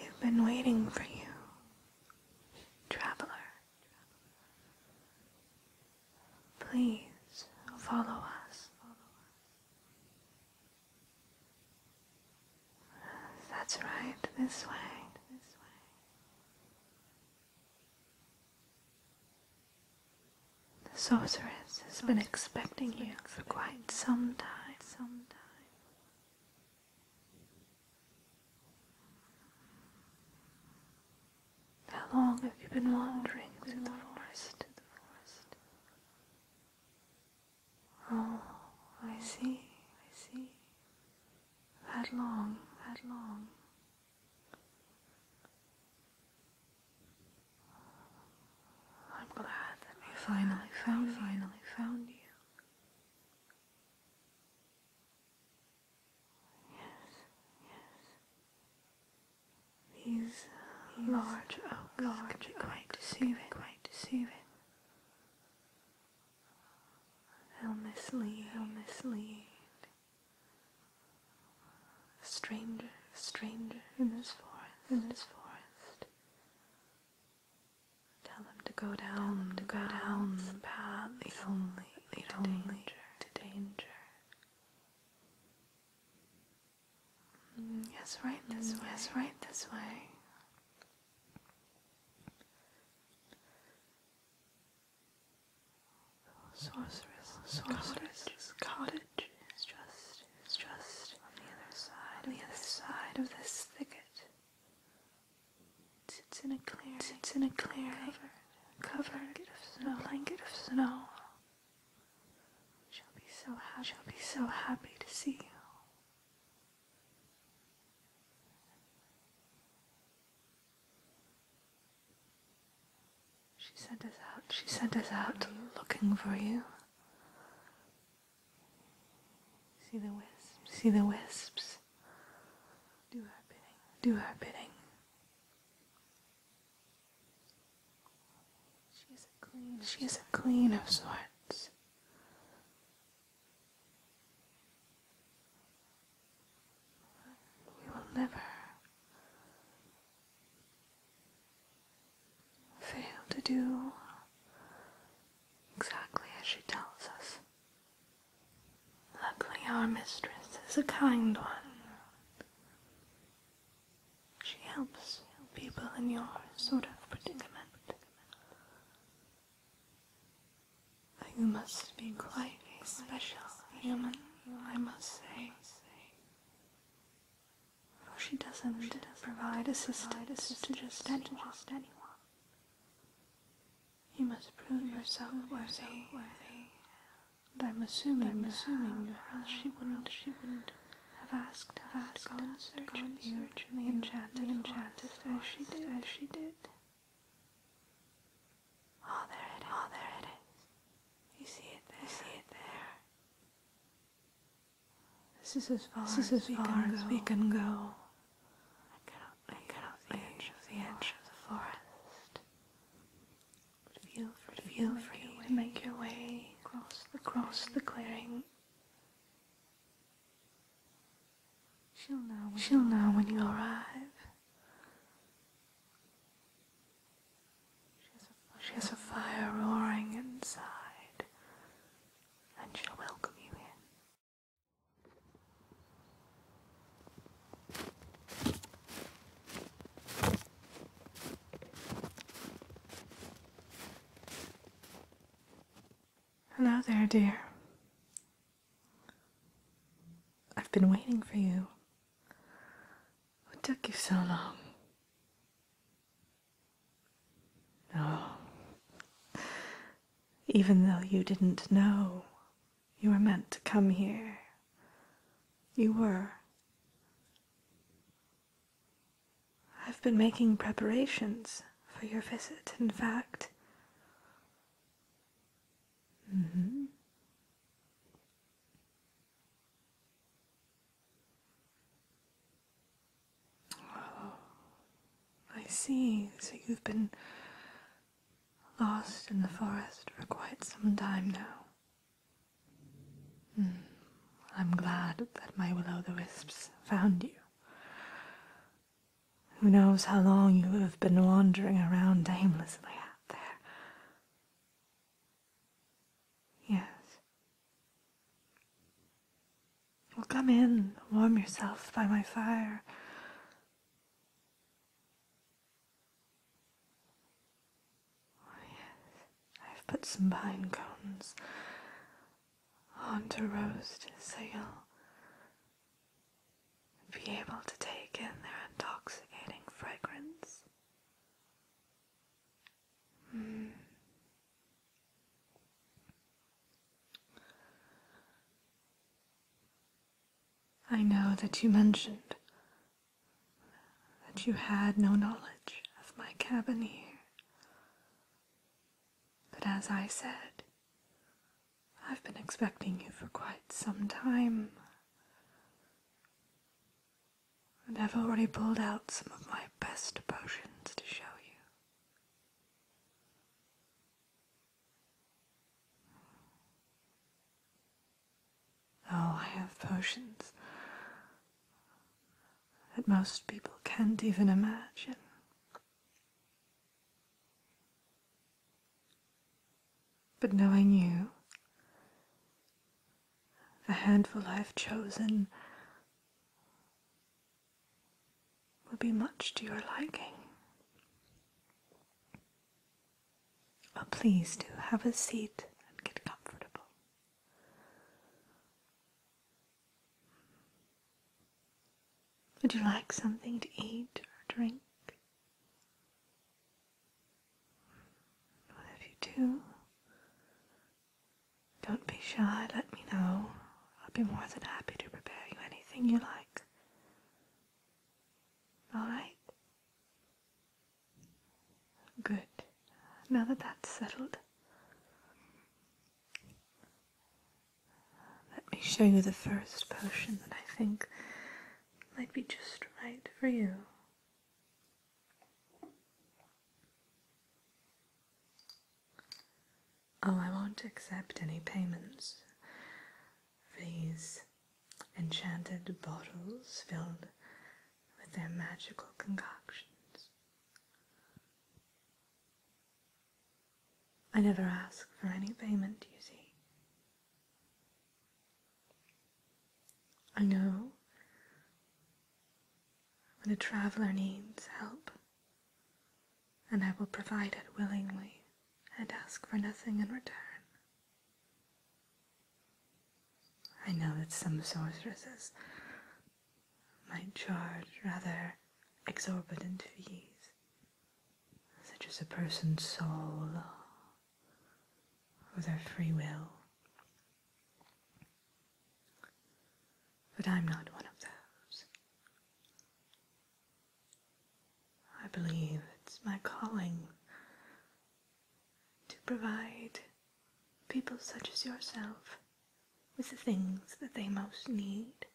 We've been waiting for you, traveler. Please follow us. That's right, this way. This way. The sorceress has been expecting you for quite some time. Some time. How long have you been wandering through the forest? Oh, I see, I see. That long, that long. I'm glad that we finally found, finally found you yes. These, These large oh, large quite deceiving, quite deceiving. They'll mislead, they'll mislead. A stranger, a stranger in this forest, in this forest. Tell them to go down, to go down the path, the only only mm, yes, right this mm, way. Yes, right this way. Sorceress, cottage, is just, on the other side of this thicket. Sits in a clear, sits in a clear, covered, covered blanket blanket of snow. She'll be so happy, she'll be so happy to see you. She sent us out, she sent us out looking for you. See the wisps, see the wisps. Do her bidding. Do her bidding. She is a queen. She is a queen of sorts. We will never fail to do exactly as she tells us. Luckily, our mistress is a kind one. She helps people in your sort of predicament. You must be quite a special human, I must say. For she doesn't, she doesn't provide assistance, assistance to just Just anyone. You must prove yourself worthy. worthy. And I'm assuming, assuming you have, she wouldn't, have asked, us to gone, gone search, gone the enchanted, enchanted as she did, as she did. there it is. You see it there. This is as far, as we can go. I cannot leave, the, edge of the forest. feel free, to, make your way across the, clearing. She'll know when, you, arrive. She has, she has a fire roaring inside, and she'll welcome you in. Hello there, dear. I've been waiting for you. What took you so long? Oh, even though you didn't know you were meant to come here. You were. I've been making preparations for your visit, in fact. Mm-hmm. Oh, I see. So you've been lost in the forest for quite some time now. Hmm, I'm glad that my will-o'-the-wisps found you. Who knows how long you have been wandering around aimlessly out there. Yes. Well, come in, warm yourself by my fire. Oh, yes, I've put some pine cones on to roast so you'll be able to take in their intoxicating fragrance. Hmm. I know that you mentioned that you had no knowledge of my cabin here. But as I said, I've been expecting you for quite some time. And I've already pulled out some of my best potions to show you. Oh, I have potions that most people can't even imagine. But knowing you, the handful I've chosen will be much to your liking. Well, oh, please do have a seat and get comfortable. Would you like something to eat or drink? Well, if you do, don't be shy, let me know. I'll be more than happy to prepare you anything you like. All right? Good. Now that that's settled, let me show you the first potion that I think might be just right for you. Oh, I won't accept any payments. These enchanted bottles filled with their magical concoctions. I never ask for any payment, you see. I know when a traveler needs help and I will provide it willingly and ask for nothing in return. I know that some sorceresses might charge rather exorbitant fees, such as a person's soul or their free will. But I'm not one of those. I believe it's my calling to provide people such as yourself with the things that they most need.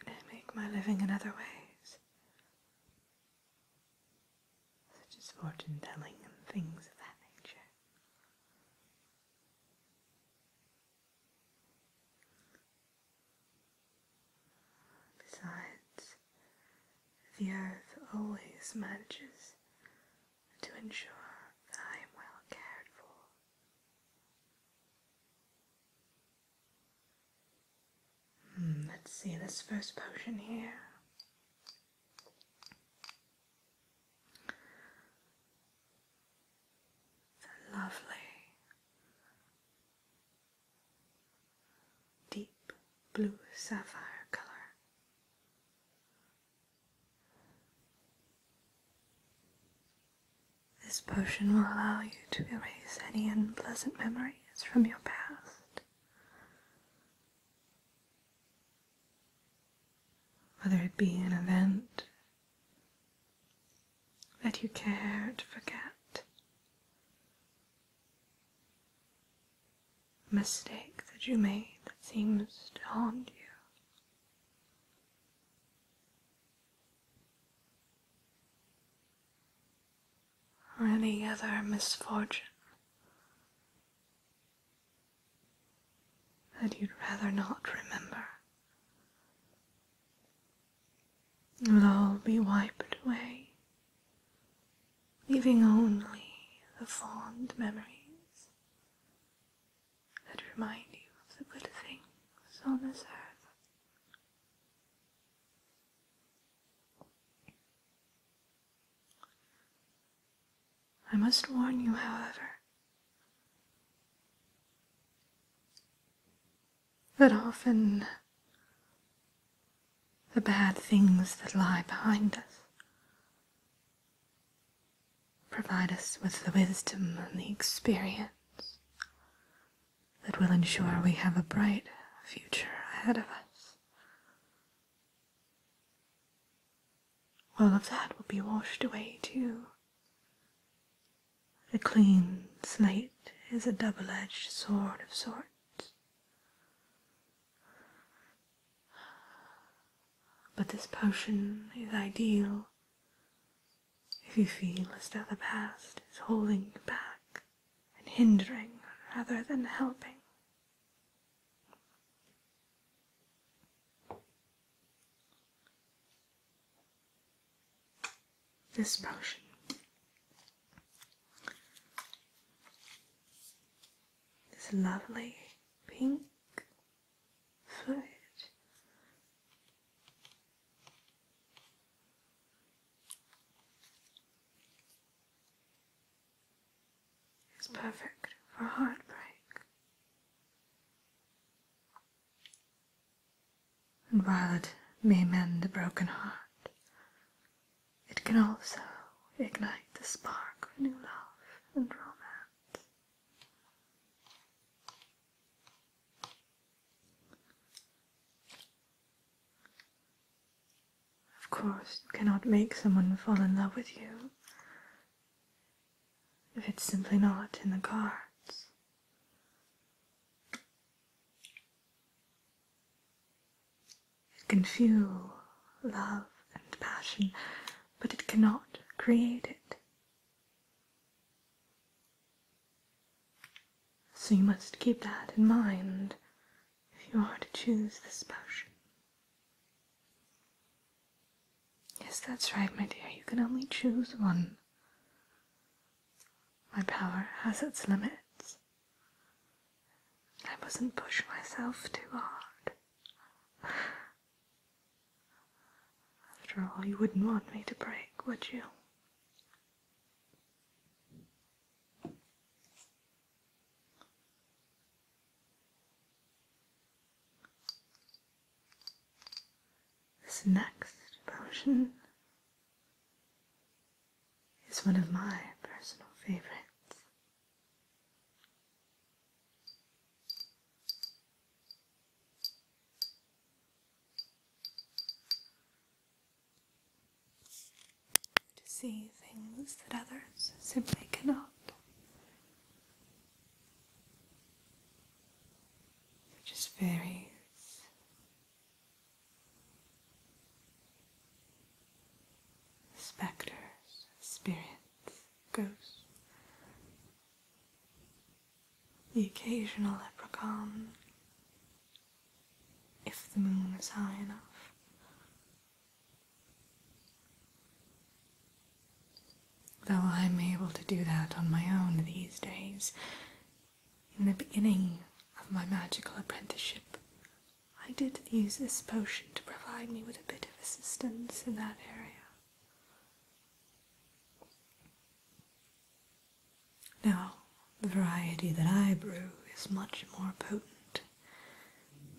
And I make my living in other ways such as fortune telling and things of that nature. Besides, the earth always manages to ensure that I am well cared for. Hmm, let's see this first potion here lovely deep blue sapphire color. This potion will allow you to erase any unpleasant memories from your past whether it be an event that you care to forget, mistake that you made that seems to haunt you. Or any other misfortune that you'd rather not remember will all be wiped away, leaving only the fond memories that remind you of the good things on this earth. I must warn you, however, that often the bad things that lie behind us provide us with the wisdom and the experience that will ensure we have a bright future ahead of us all of that will be washed away too. A clean slate is a double edged sword of sorts. But this potion is ideal if you feel as though the past is holding you back and hindering rather than helping this potion. This lovely pink fluid is perfect for heartbreak. And while it may mend a broken heart, it can also ignite the spark of new love and romance. Of course, you cannot make someone fall in love with you if it's simply not in the cards. It can fuel love and passion, but it cannot create it. So you must keep that in mind if you are to choose this passion. Yes, that's right, my dear. You can only choose one. My power has its limits. I mustn't push myself too hard. After all, you wouldn't want me to break, would you? This next potion is one of my personal favorites to see things that others simply cannot. It just varies. Spectres, spirits, ghosts, the occasional leprechaun, if the moon is high enough. Though I'm able to do that on my own these days. In the beginning of my magical apprenticeship, I did use this potion to provide me with a bit of assistance in that area. Now, the variety that I brew is much more potent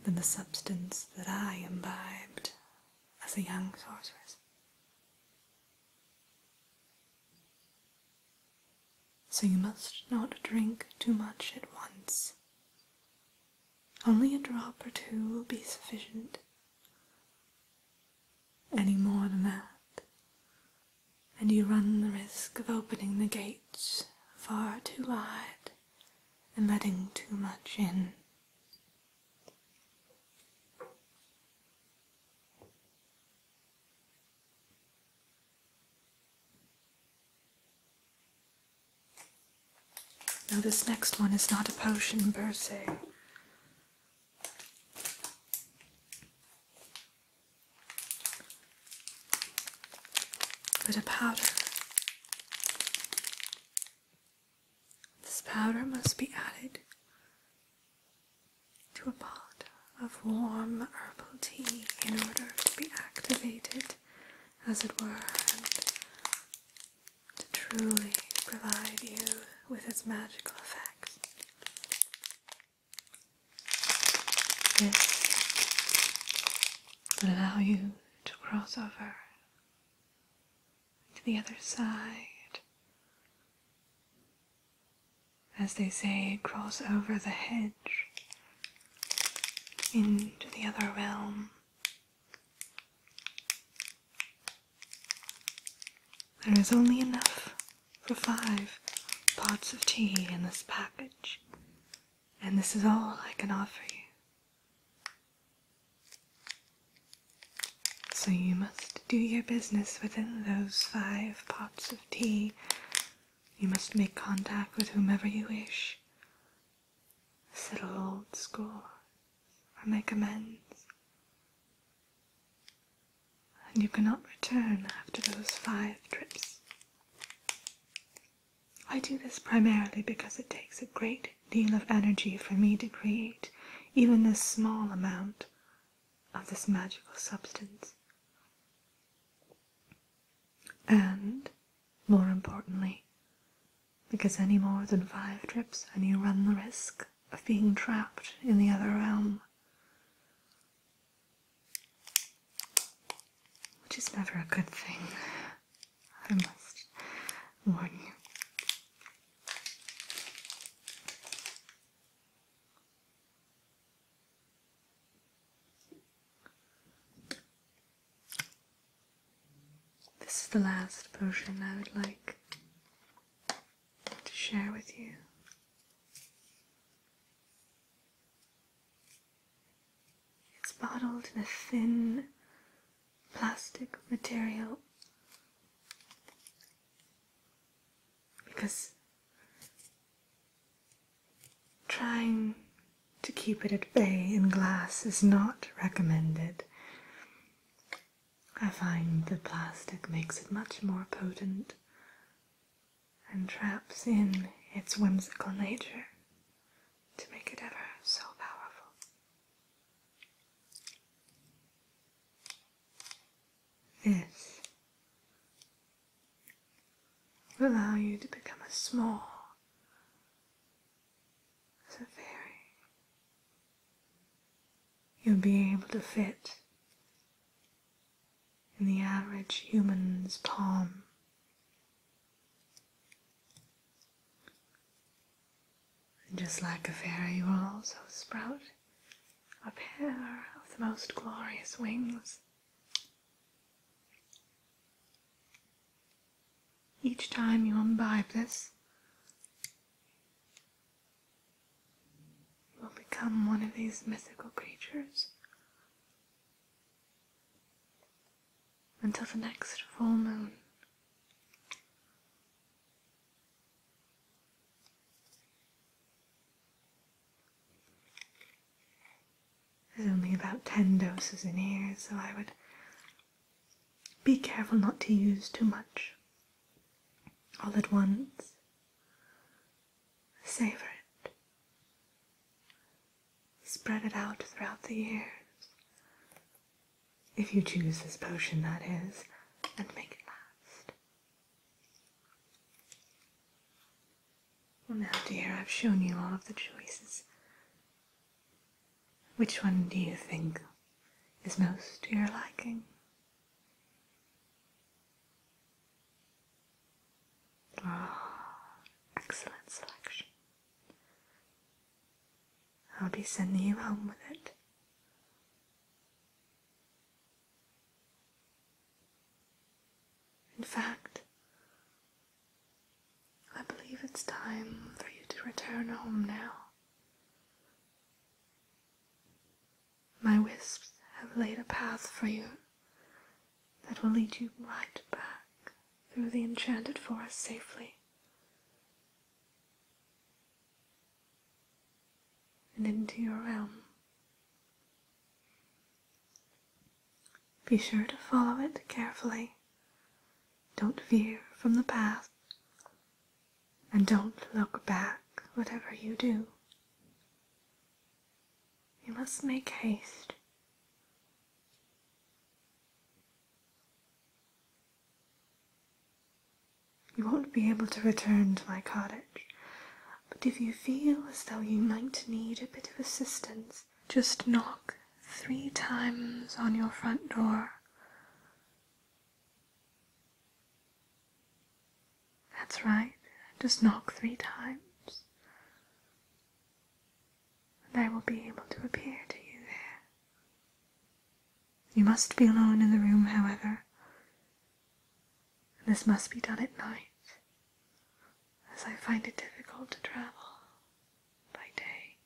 than the substance that I imbibed as a young sorceress. So you must not drink too much at once. Only a drop or two will be sufficient. Any more than that, and you run the risk of opening the gates far too wide and letting too much in. Now, this next one is not a potion per se. But a powder. This powder must be added to a pot of warm herbal tea in order to be activated, as it were, and to truly provide you with its magical effects. This would allow you to cross over to the other side. As they say, cross over the hedge into the other realm. There is only enough for five pots of tea in this package. And this is all I can offer you. So you must do your business within those five pots of tea. You must make contact with whomever you wish. Settle old scores or make amends. And you cannot return after those five trips. I do this primarily because it takes a great deal of energy for me to create even this small amount of this magical substance. And, more importantly, because any more than five trips and you run the risk of being trapped in the other realm, which is never a good thing. I must warn you. This is the last potion I would like to share with you. It's bottled in a thin plastic material because trying to keep it at bay in glass is not recommended. I find the plastic makes it much more potent and traps in its whimsical nature to make it ever so powerful. This will allow you to become as small as a fairy. You'll be able to fit in the average human's palm and just like a fairy, you will also sprout a pair of the most glorious wings. Each time you imbibe this, you will become one of these mythical creatures until the next full moon. There's only about 10 doses in here, so I would be careful not to use too much all at once. Savor it. Spread it out throughout the years. If you choose this potion, that is, and make it last. Well, now, dear, I've shown you all of the choices. Which one do you think is most to your liking? Oh, excellent selection. I'll be sending you home with it. In fact, I believe it's time for you to return home now. My wisps have laid a path for you that will lead you right back through the enchanted forest safely. And into your realm. Be sure to follow it carefully. Don't veer from the path. And don't look back, whatever you do. You must make haste. You won't be able to return to my cottage, but if you feel as though you might need a bit of assistance, just knock three times on your front door. That's right, just knock three times and I will be able to appear to you there. You must be alone in the room, however, and this must be done at night, as I find it difficult to travel by day.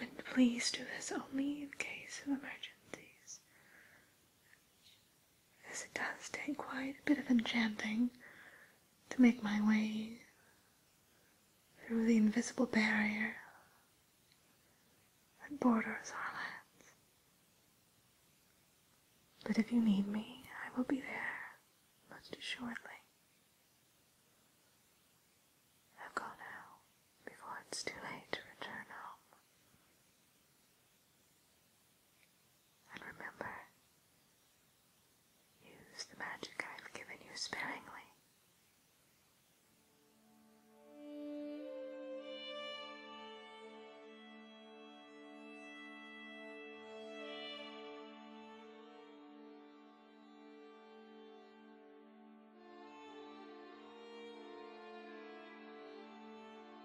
And please do this only in case of emergencies, as it does take quite a bit of enchanting to make my way through the invisible barrier that borders our lands. But if you need me, I will be there most assuredly. I'll go now before it's too late to return home. And remember, use the magic I've given you sparingly.